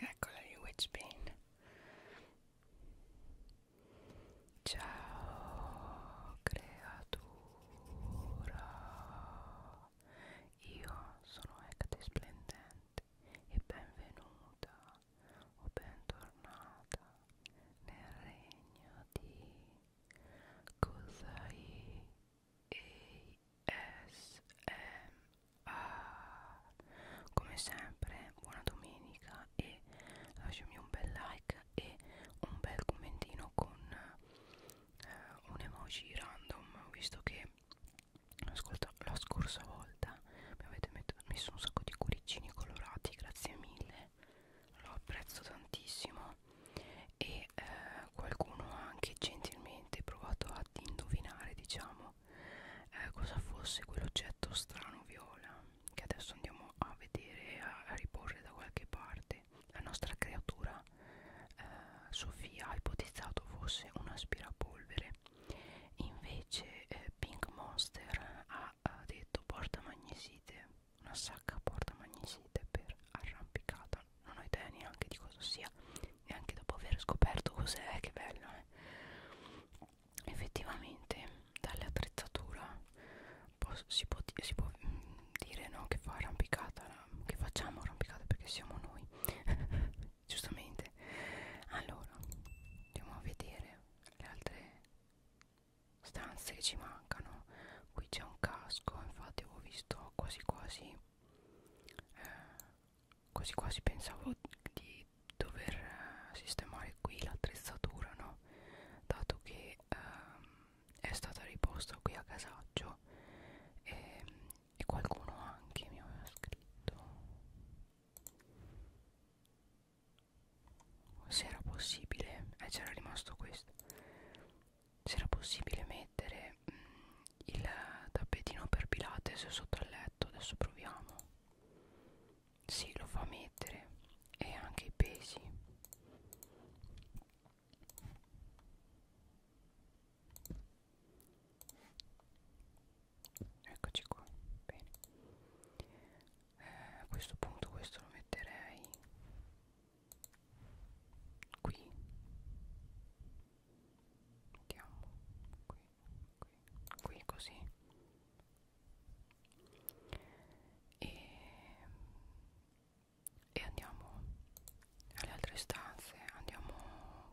Eccola lì Witchbane. Ciao creatura. Io sono Ecate Splendente e benvenuta o bentornata nel regno di Kusai ASMR come sempre buona domenica e lasciami un bel like e un bel commentino con eh, un emoji random visto che ascolta, la scorsa volta mi avete messo un sacco di cuoricini colorati grazie mille lo apprezzo tantissimo e eh, qualcuno ha anche gentilmente provato a indovinare diciamo eh, cosa fosse quell'oggetto strano viola che adesso andiamo a vedere a, a riporre da qualche parte la nostra creatura eh, Sofia ha ipotizzato fosse un aspirapolvere invece eh, Pink Monster ha, ha detto porta magnesite una sacca porta magnesite per arrampicata non ho idea neanche di cosa sia neanche dopo aver scoperto cos'è che bello eh. effettivamente dall'attrezzatura si può, si può mh, mm, dire no, che fa arrampicata che facciamo arrampicata perché siamo noi giustamente allora andiamo a vedere le altre stanze che ci mancano qui c'è un casco infatti avevo visto quasi quasi eh, quasi quasi pensavo di dover eh, sistemare qui l'attrezzatura no dato che ehm, è stata riposta qui a casaccio e, ehm, e qualcuno anche mi aveva scritto se era possibile e eh, c'era rimasto questo c'era possibile mettere mh, mm, il tappetino per Pilates sotto al letto. Adesso proviamo. Sì, lo fa mettere e anche i pesi. Eccoci qua. Bene. Eh, a questo punto questo lo metterei qui mettiamo qui qui qui così e, e andiamo alle altre stanze andiamo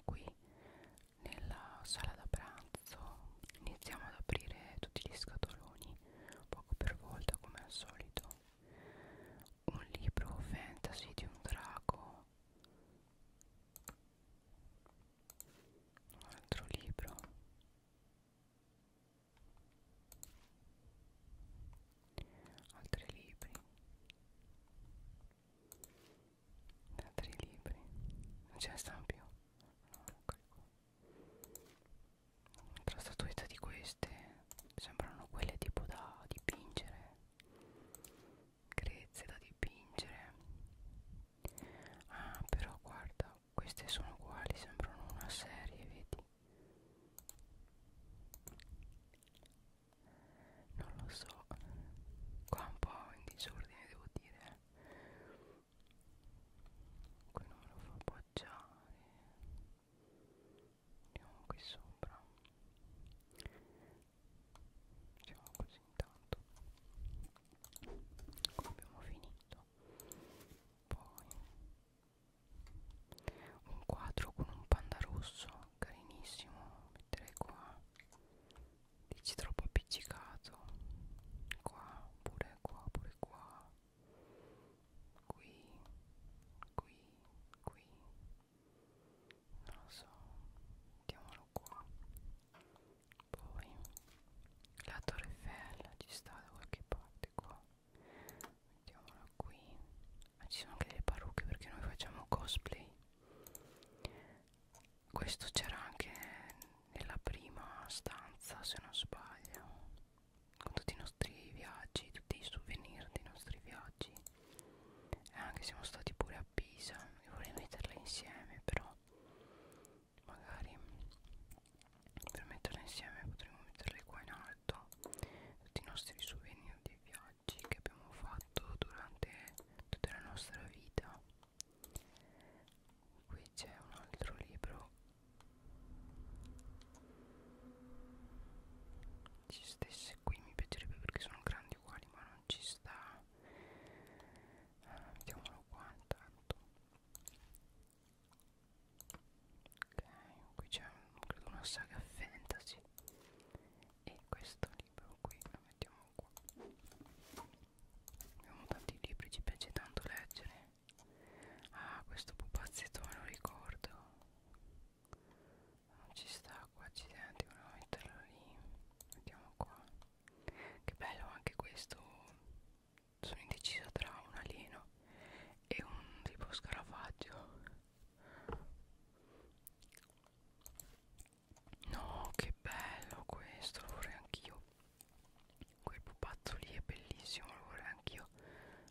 qui nella sala da pranzo iniziamo ad aprire tutti gli scatoloni poco per volta come al solito un libro fantasy di un drago un altro libro altri libri altri libri non ce ne stanno più no, eccoli qua tra statuette di queste sembrano quelle tipo da dipingere grezze da dipingere ah però guarda queste sono uguali sembrano una serie vedi non lo so qua un po' in disordine devo dire qui non me lo fa appoggiare andiamo qui sopra siamo così intanto Qua abbiamo finito poi un quadro con un panda rosso carinissimo metterei qua dici troppo appiccicato qua pure qua pure qua qui qui qui non lo so mettiamolo qua poi la torre Eiffel ci sta da qualche parte qua mettiamola qui ma ci sono anche le parrucche perché noi facciamo cosplay questo c'era anche nella prima stanza se non sbaglio con tutti i nostri viaggi tutti i souvenir dei nostri viaggi eh, anche siamo stati pure a Pisa e vorrei metterle insieme però magari per metterle insieme potremmo metterle qua in alto tutti i nostri souvenir dei viaggi che abbiamo fatto durante tutta la nostra vita qui c'è un altro libro ci stesse qui mi piacerebbe perché sono grandi uguali ma non ci sta ah, mettiamolo qua intanto ok qui c'è un, credo una saga fantasy e questo libro qui lo mettiamo qua abbiamo tanti libri ci piace tanto leggere ah questo pupazzetto me lo ricordo non ah, ci sta qua accidenti volevo metterlo lì mettiamo qua che bello anche questo sono indecisa tra un alieno e un tipo scarafaggio no che bello questo lo vorrei anch'io quel pupazzo lì è bellissimo lo vorrei anch'io bello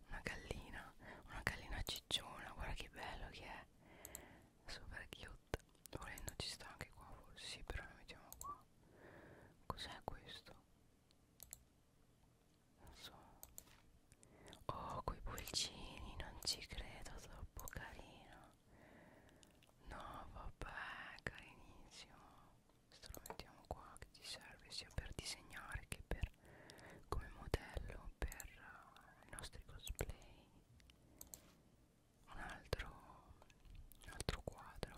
una gallina una gallina cicciona guarda che bello che è super cute volendo ci sta anche qua forse sì però la mettiamo qua cos'è questo non so oh quei pulcini non ci credo troppo carino no vabbè carinissimo questo lo mettiamo qua che ti serve sia per disegnare che per come modello per uh, i nostri cosplay un altro, un altro quadro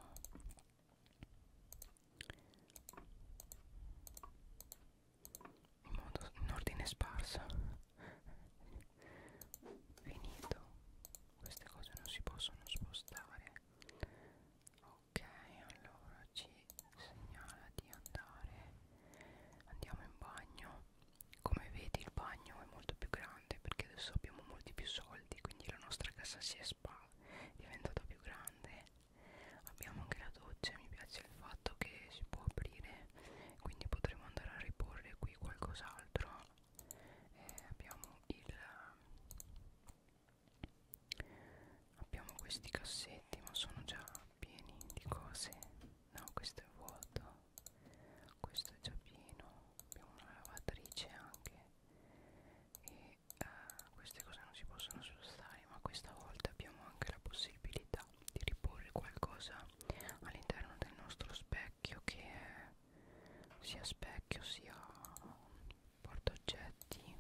in, modo, in ordine sparso finito queste cose non si possono spostare ok allora ci ci segnala di andare andiamo in bagno come vedi il bagno è molto più grande perché adesso abbiamo molti più soldi quindi la nostra cassa si è spa diventata più grande abbiamo anche la doccia mi piace il fatto che si può aprire quindi potremo andare a riporre qui qualcos'altro eh, abbiamo il abbiamo questi cassetti ma sono già pieni di cose no questo è vuoto questo è già pieno abbiamo una lavatrice anche e uh, queste cose non si possono spostare ma questa volta abbiamo anche la possibilità di riporre qualcosa all'interno del nostro specchio che è sia specchio sia portaoggetti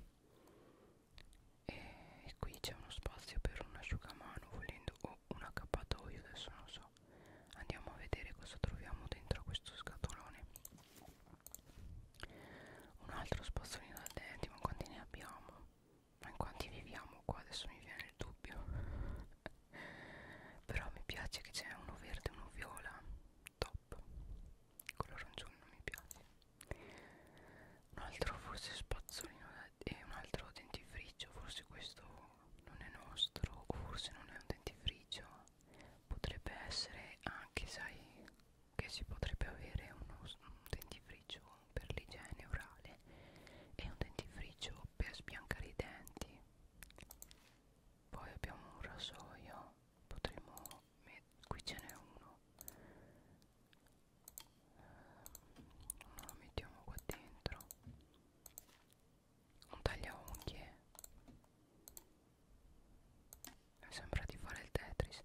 e, e qui c'è uno spazio per un asciugamano volendo o un accappatoio adesso non so andiamo a vedere cosa troviamo dentro questo scatolone un altro spazzolino da denti ma quanti ne abbiamo ma in quanti viviamo qua adesso mi viene il dubbio però mi piace che c'è uno verde e uno viola top quello arancione non mi piace un altro forse spazzolino e eh, un altro dentifricio forse questo non è nostro o forse non è un dentifricio potrebbe essere anche sai che si potrebbe avere uno, un dentifricio per l'igiene orale e un dentifricio per sbiancare i denti poi abbiamo un rasoio potremmo qui ce n'è uno lo mettiamo qua dentro un tagliaunghie mi sembra di fare il tetris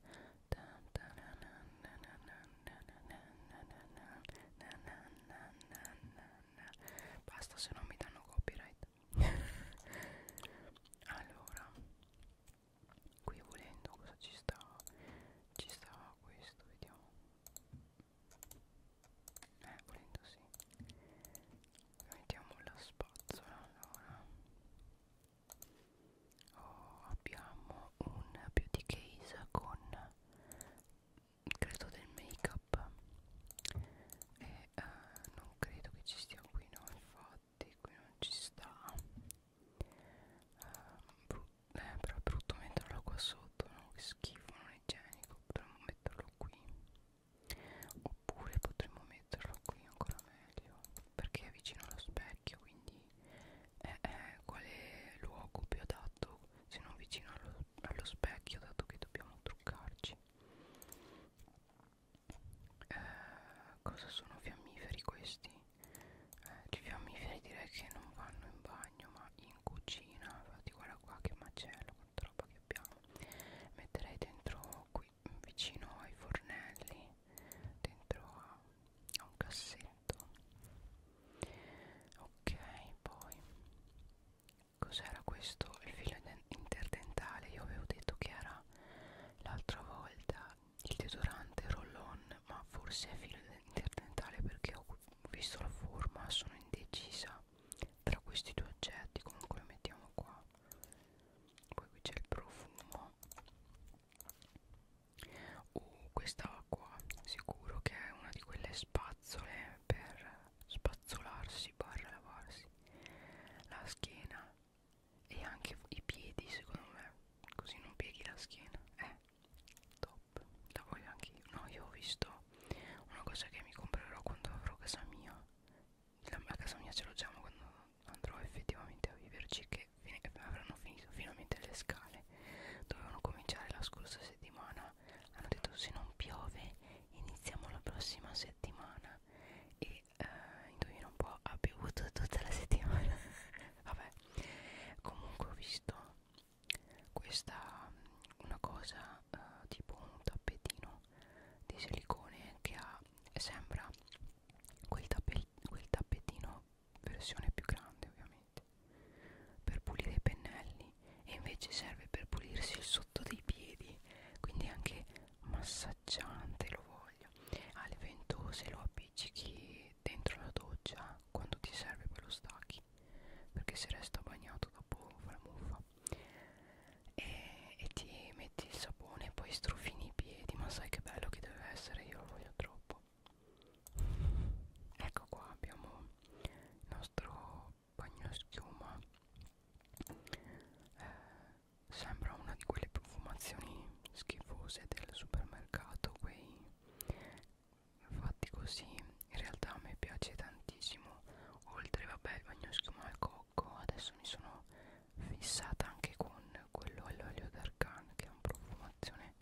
basta se non mi danno copyright allora qui volendo cosa ci sta ci sta questo vediamo eh volendo sì mettiamo la spazzola allora oh, abbiamo un beauty case con credo del make up e eh, non credo che ci stia qui no infatti qui non ci sta uh, eh, però è brutto metterlo qua sotto no? che schifo non è igienico potremmo metterlo qui oppure potremmo metterlo qui ancora meglio perché è vicino allo specchio quindi eh, eh, quale luogo più adatto se non vicino allo, allo specchio dato che dobbiamo truccarci eh, cosa sono fiammiferi questi? eh, i fiammiferi direi che non vanno in bagno ma in cucina infatti guarda qua che macello quanta roba che abbiamo metterei dentro qui vicino ai fornelli dentro a, a un cassetto ok poi cos'era questo il filo interdentale io avevo detto che era l'altra volta il deodorante roll on ma forse è filo interdentale perché ho visto la forma sono indecisa tra questi due oggetti comunque lo mettiamo qua poi qui c'è il profumo uh, questa qua sicuro che è una di quelle spazzole per spazzolarsi barra lavarsi la schiena e anche i piedi secondo me così non pieghi la schiena eh top la voglio anche io no io ho visto una cosa che mi comprerò quando avrò casa mia la, la casa mia ce l'ho già ma quando andrò effettivamente a viverci che fine, avranno finito finalmente le scale dovevano cominciare la scorsa settimana hanno detto se non piove iniziamo la prossima settimana e eh, indovina un po' ha piovuto tutta la settimana vabbè comunque ho visto questa una cosa eh, tipo un tappetino di silicone che ha sembra quel, tappe, quel tappetino versione più grande ovviamente per pulire i pennelli e invece serve per pulirsi il sotto dei piedi quindi anche massaggiante lo vuoi bagno alle ventose lo appiccichi dentro la doccia quando ti serve poi lo stacchi perché se resta bagnato dopo fa la muffa e, e ti metti il sapone e poi strofini i piedi ma sai che bello che deve essere io lo voglio troppo ecco qua abbiamo il nostro bagno schiuma eh, sembra una di quelle profumazioni schifose del supermercato quei fatti così in realtà a me piace tantissimo oltre vabbè il bagno schiuma al cocco adesso mi sono fissata anche con quello all'olio d'argan che ha una profumazione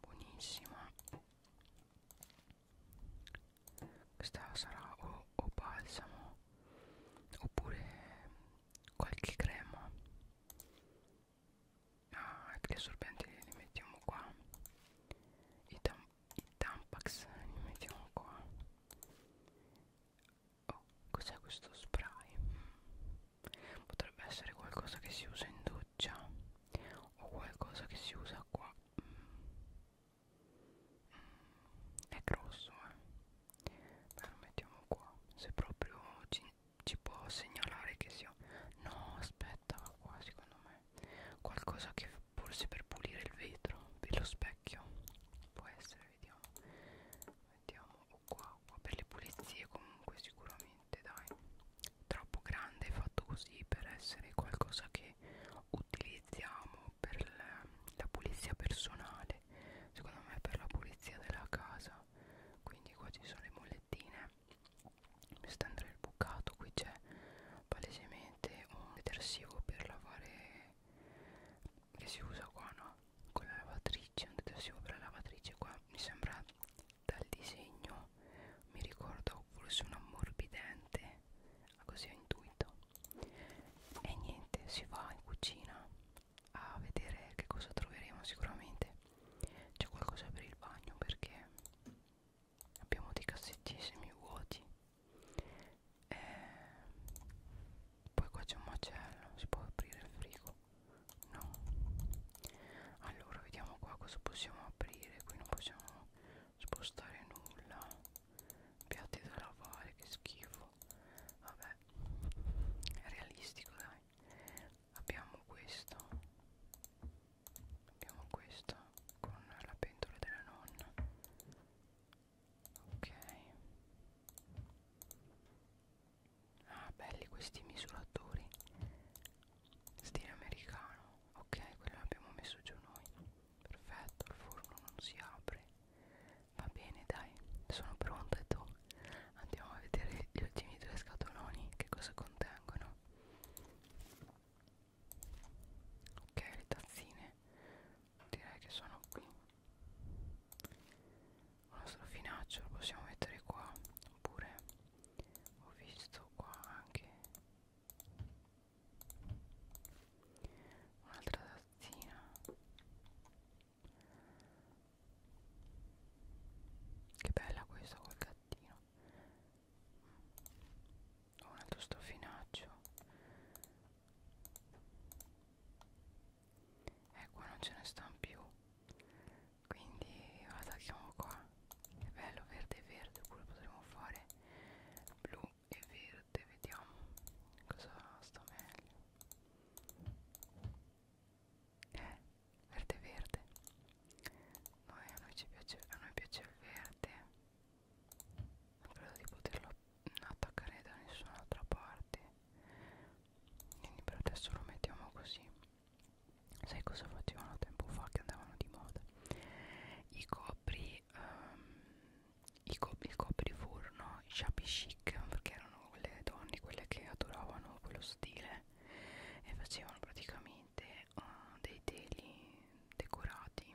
buonissima questa sarà o, o balsamo oppure qualche crema ah, anche ecco, gli assorbenti li mettiamo qua i, tam i tampax li mettiamo qua oh cos'è questo spray potrebbe essere qualcosa che si usa in doccia o qualcosa che si usa qua mm. Mm, è grosso eh Beh, lo mettiamo qua se proprio ci ci può segnalare che sia no aspetta qua secondo me qualcosa che forse per pulire il vetro per lo specchio può essere vediamo mettiamo qua qua per le pulizie comunque sicuramente dai troppo grande fatto così per essere qualcosa che utilizziamo per la pulizia personale niente secondo me per la pulizia della casa quindi qua ci sono le mollettine stendere il bucato qui c'è palesemente un detersivo per lavare che si usa qua no con la lavatrice un detersivo per la lavatrice qua mi sembra dal disegno mi ricordo forse un ammorbidente così ho intuito e niente si va in cucina a vedere che cosa troveremo sicuramente c'è qualcosa per il bagno perché abbiamo dei cassetti semi vuoti e eh, poi qua c'è un macello si può aprire il frigo no allora vediamo qua cosa possiamo aprire qui non possiamo spostare nulla piatti da lavare che schifo vabbè è realistico dai abbiamo questo abbiamo questo con la pentola della nonna ok ah belli questi misuratori stile americano ok quello l'abbiamo messo giù noi perfetto il forno non si apre va bene dai sono pronta e tu andiamo a vedere gli ultimi due scatoloni che cosa contengono ok le tazzine direi che sono qui il nostro finaccio lo possiamo mettere qua oppure ho visto qua anche un'altra tazzina che bella questa col gattino. Ho un altro stoffinaccio. E ecco, qua non ce ne stanno più. Quindi attacchiamo qua. Che bello, verde e verde, oppure potremmo fare blu e verde, vediamo cosa sta meglio eh, verde verde noi, a, noi ci piace, a noi piace il verde non credo di poterlo attaccare da nessun'altra parte quindi per adesso lo mettiamo così sai cosa facevano tempo fa che andavano di moda i copri um, i cop il copriforno erano i shabby chic perché erano quelle donne, quelle che adoravano quello stile e facevano praticamente uh, dei teli decorati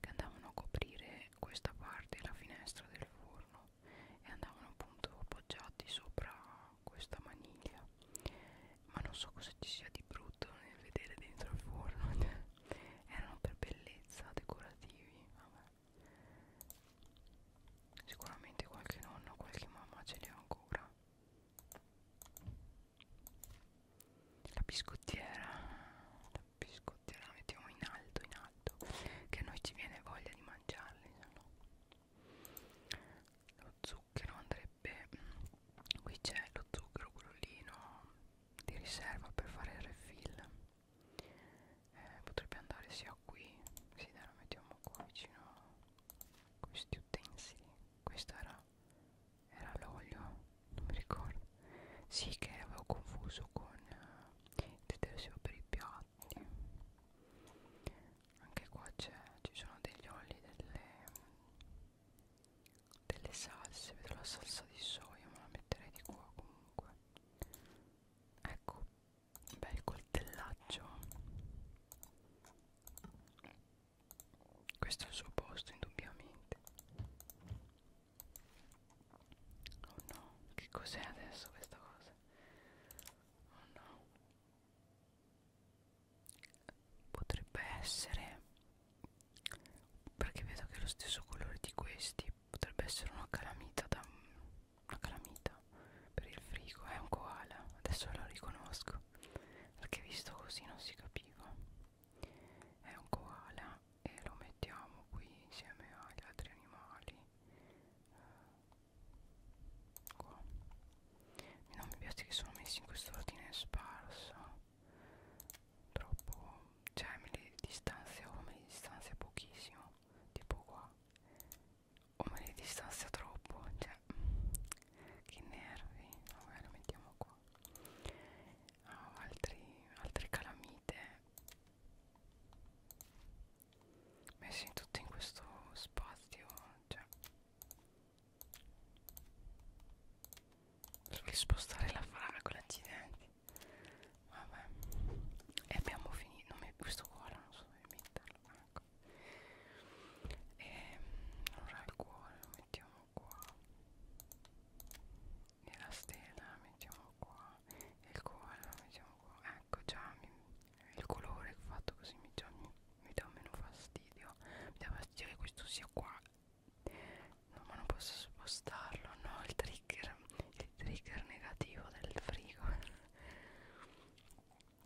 che andavano a coprire questa parte, la finestra del forno e andavano appunto appoggiati sopra questa maniglia ma non so cosa ci sia di brutto nel vedere dentro il forno erano per bellezza decorativi vabbè. Sicuramente qualche nonno, qualche mamma ce li ha ancora. La biscottiera, la biscottiera la mettiamo in alto, in alto, che a noi ci viene voglia di mangiarli. No? Lo zucchero andrebbe, qui c'è lo zucchero, quello lì no, di riserva per fare il refill eh, potrebbe andare sia qui sì dai lo mettiamo qua vicino a questi utensili questa era era l'olio non mi ricordo sì che avevo confuso con eh, il detersivo per i piatti anche qua ci sono degli oli delle delle salse vedo la salsa di soia ma la metterei di qua comunque ecco bel coltellaccio questo è il suo posto indubbiamente oh no che cos'è adesso questa cosa oh no potrebbe essere perché vedo che è lo stesso colore di questi potrebbe essere una calamita da una calamita per il frigo è un koala adesso lo riconosco perché visto così non si capiva è un koala e lo mettiamo qui insieme agli altri animali eh, qua non mi piace che sono messi in questo ordine sparso troppo cioè me le distanzio me le distanzio pochissimo tipo qua o me li distanzia troppo cioè che nervi vabbè lo mettiamo qua oh, altri, altre calamite messi tutti in questo spazio cioè per spostare la fragola accidenti vabbè e abbiamo finito non mi, questo cuore non so dove metterlo ecco e ehm, allora il cuore lo mettiamo qua e la stella la mettiamo qua e il cuore lo mettiamo qua ecco già mi, il colore fatto così mi, già, mi, mi dà meno fastidio mi dà fastidio che questo sia qua no ma non posso spostarlo no il trigger il trigger negativo del frigo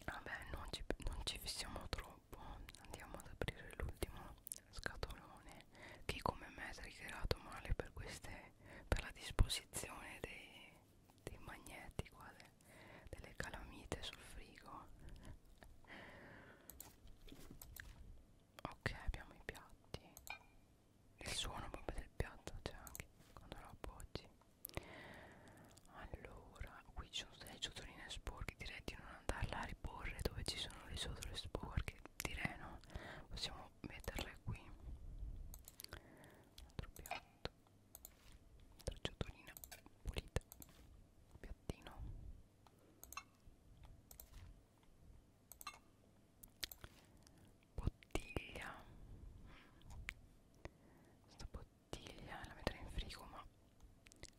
vabbè non ci, non ci fissiamo troppo andiamo ad aprire l'ultimo scatolone che come me è triggerato male per queste per la disposizione dei, dei magneti qua de, delle calamite sul frigo ok abbiamo i piatti il suono proprio del piatto c'è cioè anche quando lo appoggi allora qui ci sono delle ciotoline sporche direi di non andarla a riporre dove ci sono le ciotoline sporche direi no possiamo metterle qui altro piatto altra ciotolina pulita piattino bottiglia questa bottiglia la metterei in frigo ma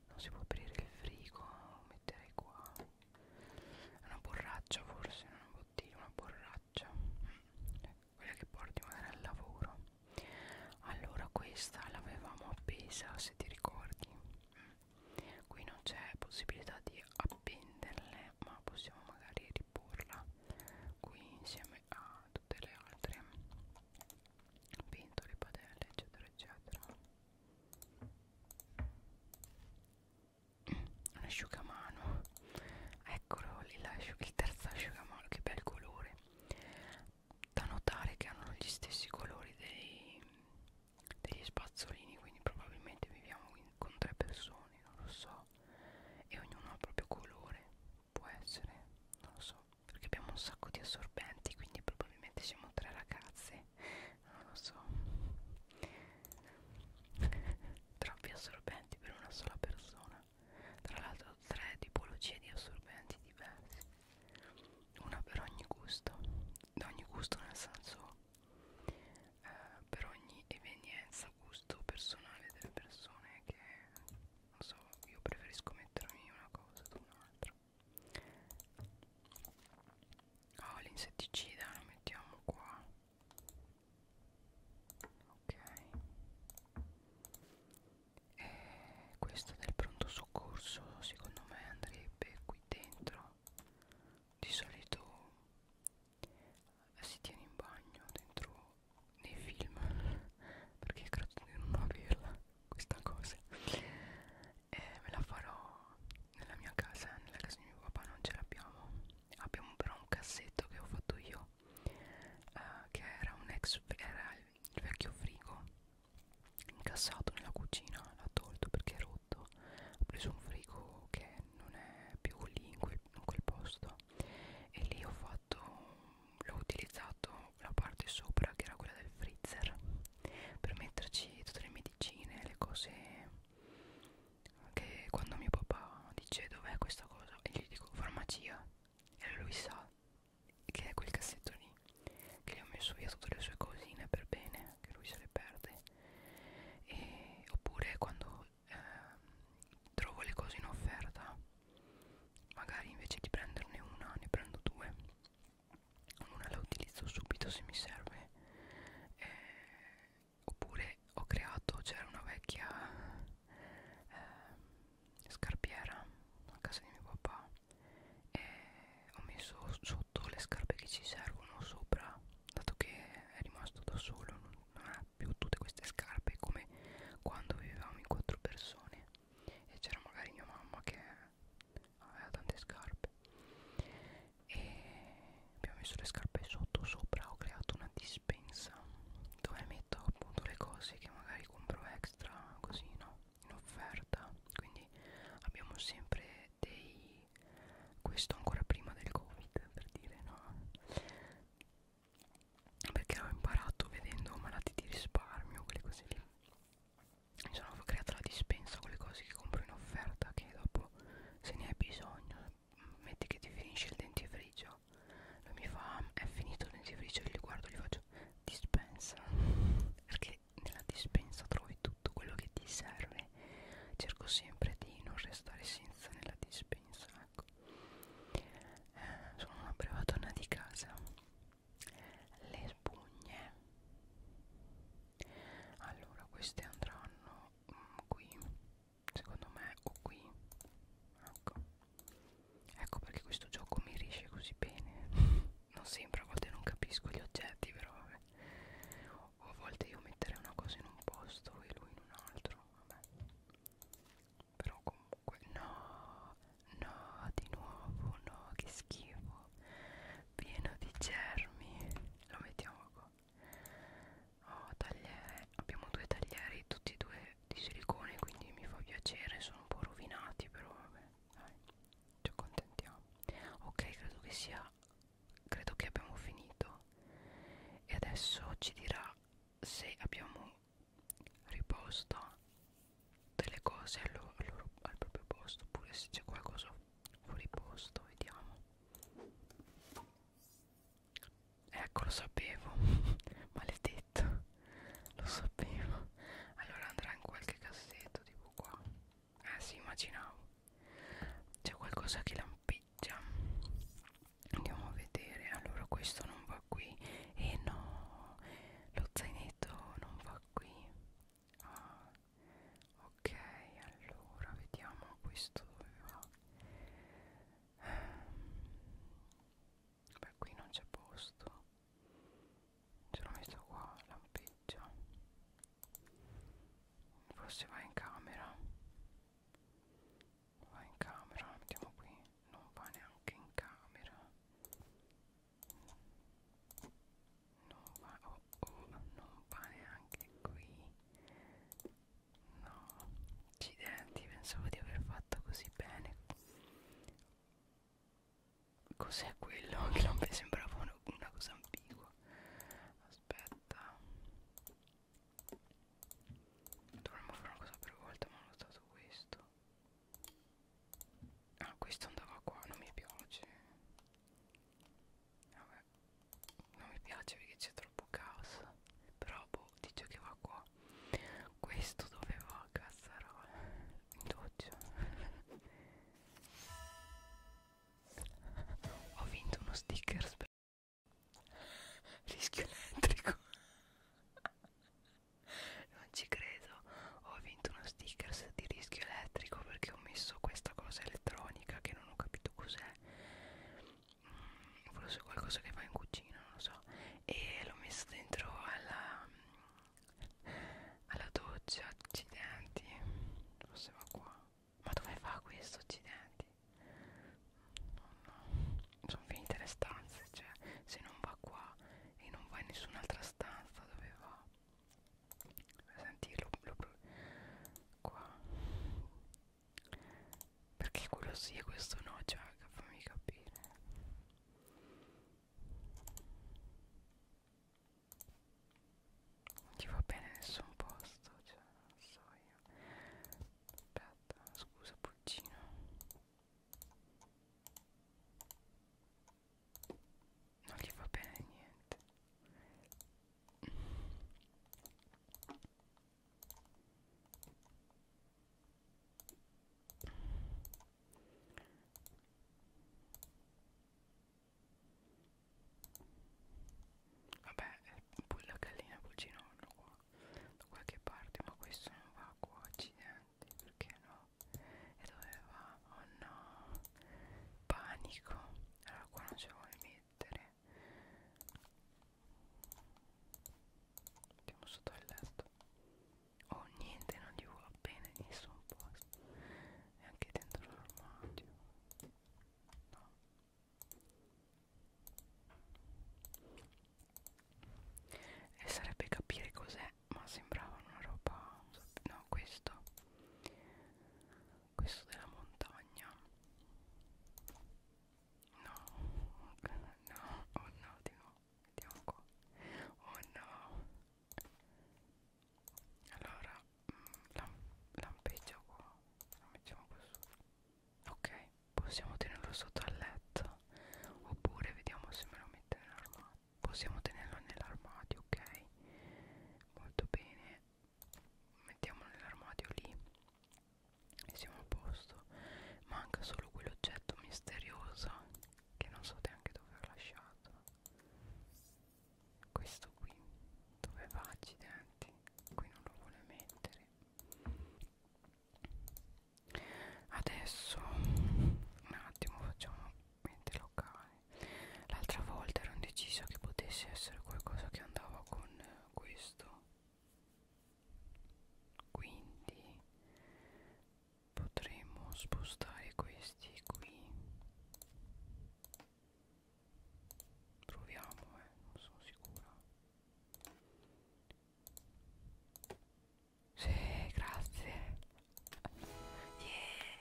non si può aprire il frigo metterei qua una borraccia forse non una bottiglia una borraccia quella che porti magari al lavoro allora questa l'avevamo appesa se ti ricordi qui non c'è possibilità di appenderle ma possiamo magari riporla qui insieme a tutte le altre pentole, padelle eccetera eccetera un asciugamano eccolo lì il terzo asciugamano che bel colore da notare che hanno gli stessi colori dei, degli spazzolini quindi probabilmente viviamo in, con tre persone non lo so fa e ognuno ha il proprio colore può essere non lo so perché abbiamo un sacco di assorbenti quindi probabilmente siamo tre ragazze non lo so troppi assorbenti per una sola persona tra l'altro tre tipologie di assorbenti diversi una per ogni gusto da ogni gusto nel senso eh, per ogni evenienza gusto gusto personale delle persone che non so io preferisco mettermi una cosa ad un'altra oh l'insetticida lo mettiamo qua ok e eh, questo del pronto soccorso secondo me andrebbe qui dentro di solito si tiene in bagno dentro nei film perché credo di non averla questa cosa e me la farò nella mia casa nella casa di mio papà non ce l'abbiamo abbiamo però un cassetto che ho fatto io eh, che era un ex era il vecchio frigo incassato nella cucina l'ha tolto perché è rotto ho preso un frigo che non è più lì in quel, in quel posto e lì ho fatto l'ho utilizzato la parte sopra che era quella del freezer per metterci tutte le medicine le cose che quando mio papà dice dov'è questa cosa e gli dico farmacia e lui sa che è quel cassetto lì che gli ho messo via tutte le sue cosine per bene che lui se le perde e, oppure quando ehm, trovo le cose in offerta magari invece di prenderne una ne prendo due una la utilizzo subito se mi serve eh, oppure ho creato c'era una vecchia eh, scarpiera a casa di mio papà e ho messo sotto le scarpe che ci servono sopra dato che è rimasto da solo non non ha più tutte queste scarpe come quando vivevamo in quattro persone e c'era magari mia mamma che aveva tante scarpe e abbiamo messo le scarpe sotto sopra ho creato una dispensa dove metto appunto le cose che magari compro extra così no in offerta quindi abbiamo sempre dei questo ancora prima del covid per dire no perché l'ho imparato vedendo malati di risparmio, quelle cose lì. Mi sono creata la dispensa con le cose che compro in offerta che dopo se ne hai bisogno metti che ti finisce il dentifricio lui mi fa ah, è finito il dentifricio io gli guardo gli faccio dispensa perché nella dispensa trovi tutto quello che ti serve cerco sempre di non restare senza nella dispensa piace un sacco eh, sono una privatona di casa le spugne allora queste andranno mm, qui secondo me o qui ecco ecco perché questo gioco mi riesce così bene non sembra a volte non capisco gli oggetti però vabbè o a volte io metterei una cosa in un posto e lui in un altro vabbè. Però comunque no, no, di nuovo, no, che schifo. Pieno di germi. Lo mettiamo qua. Oh, tagliere. Abbiamo due taglieri, tutti e due di silicone, quindi mi fa piacere, sono un po' rovinati, però vabbè, dai. Ci accontentiamo. Ok, credo che sia credo che abbiamo finito e adesso ci dirà se abbiamo riposto delle cose al, loro, al, loro, al proprio posto oppure se c'è qualcosa fuori posto vediamo ecco lo sapevo maledetto lo sapevo allora andrà in qualche cassetto tipo qua eh si immaginavo c'è qualcosa che lampeggia villaggia andiamo a vedere allora questo non va qui e eh no lo zainetto non va qui ah, ok allora vediamo questo dove va beh qui non c'è posto ce l'ho messo qua lampeggia forse va in camera va in camera la mettiamo qui non va neanche in camera non va oh, oh, non va neanche qui no accidenti pensavo di aver fatto così bene cos'è quello che non mi sembrava una cosa ambigua aspetta Dovremmo fare una cosa per volta ma ho notato questo Ah questo andava qua non mi piace Vabbè non mi piace perché c'è troppo gas Però boh dice che va qua Questo doveva cazzarola in doccia Ho vinto uno sticker rischio elettrico non ci credo ho vinto uno stickers di rischio elettrico perché ho messo questa cosa elettronica che non ho capito cos'è mm, forse qualcosa che fa in cucina non lo so e l'ho messa dentro alla alla doccia accidenti forse va qua ma dove va questo accidenti? No, no. sono finite le stanze cioè se non va qua e non va in nessun'altra stanza dove va? senti lo, lo, qua perché quello sì e questo no cioè fammi capire non ti va bene nessun posto cioè non so io aspetta scusa pulcino non gli va bene niente Vabbè, eh, poi la gallina pulcino hanno qua da qualche parte, ma questo non va qua, accidenti, perché no? E dove va? Oh no, panico, allora qua non ce vuole mettere. Andiamo sotto il letto. Oh niente, non gli va bene nessun posto. E anche dentro l'armadio. No e sarebbe capire cos'è ma sembrava una roba no questo questo della montagna no no oh no di nuovo vediamo qua oh no allora lampeggia qua lo mettiamo qua su ok possiamo tenerlo sotto al letto oppure vediamo se me lo mette nell'armadio possiamo tenerlo nell'armadio ok molto bene mettiamo nell'armadio lì e siamo a posto manca solo quell'oggetto misterioso che non so neanche dove ho lasciato questo qui dove va accidenti qui non lo vuole mettere adesso un attimo facciamo mente locale l'altra volta ero indecisa che potesse essere qualcosa che andava con questo quindi potremmo spostare questi qui Proviamo, eh, non sono sicura. Sì, grazie. Yeah,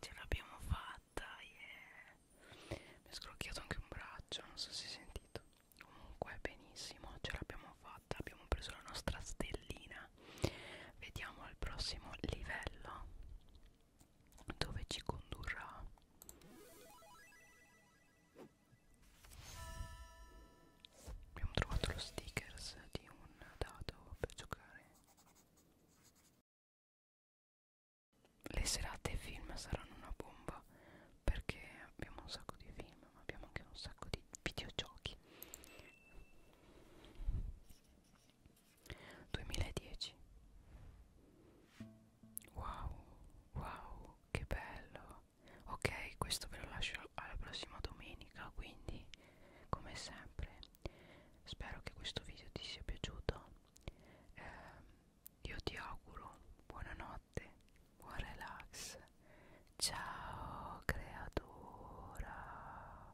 ce l'abbiamo fatta, yeah. Mi è scrocchiato anche un braccio, non so se hai sentito. Comunque, benissimo, ce l'abbiamo fatta, abbiamo preso la nostra stellina. Vediamo al prossimo livello dove ci condurrà abbiamo trovato lo stickers di un dado per giocare le serate film saranno una bomba perché abbiamo un sacco di film ma abbiamo anche un sacco di videogiochi 2010 wow wow che bello ok questo ve lo lascio alla prossima domenica quindi come sempre spero che questo video ti sia piaciuto eh, io ti auguro buonanotte buon relax ciao creatura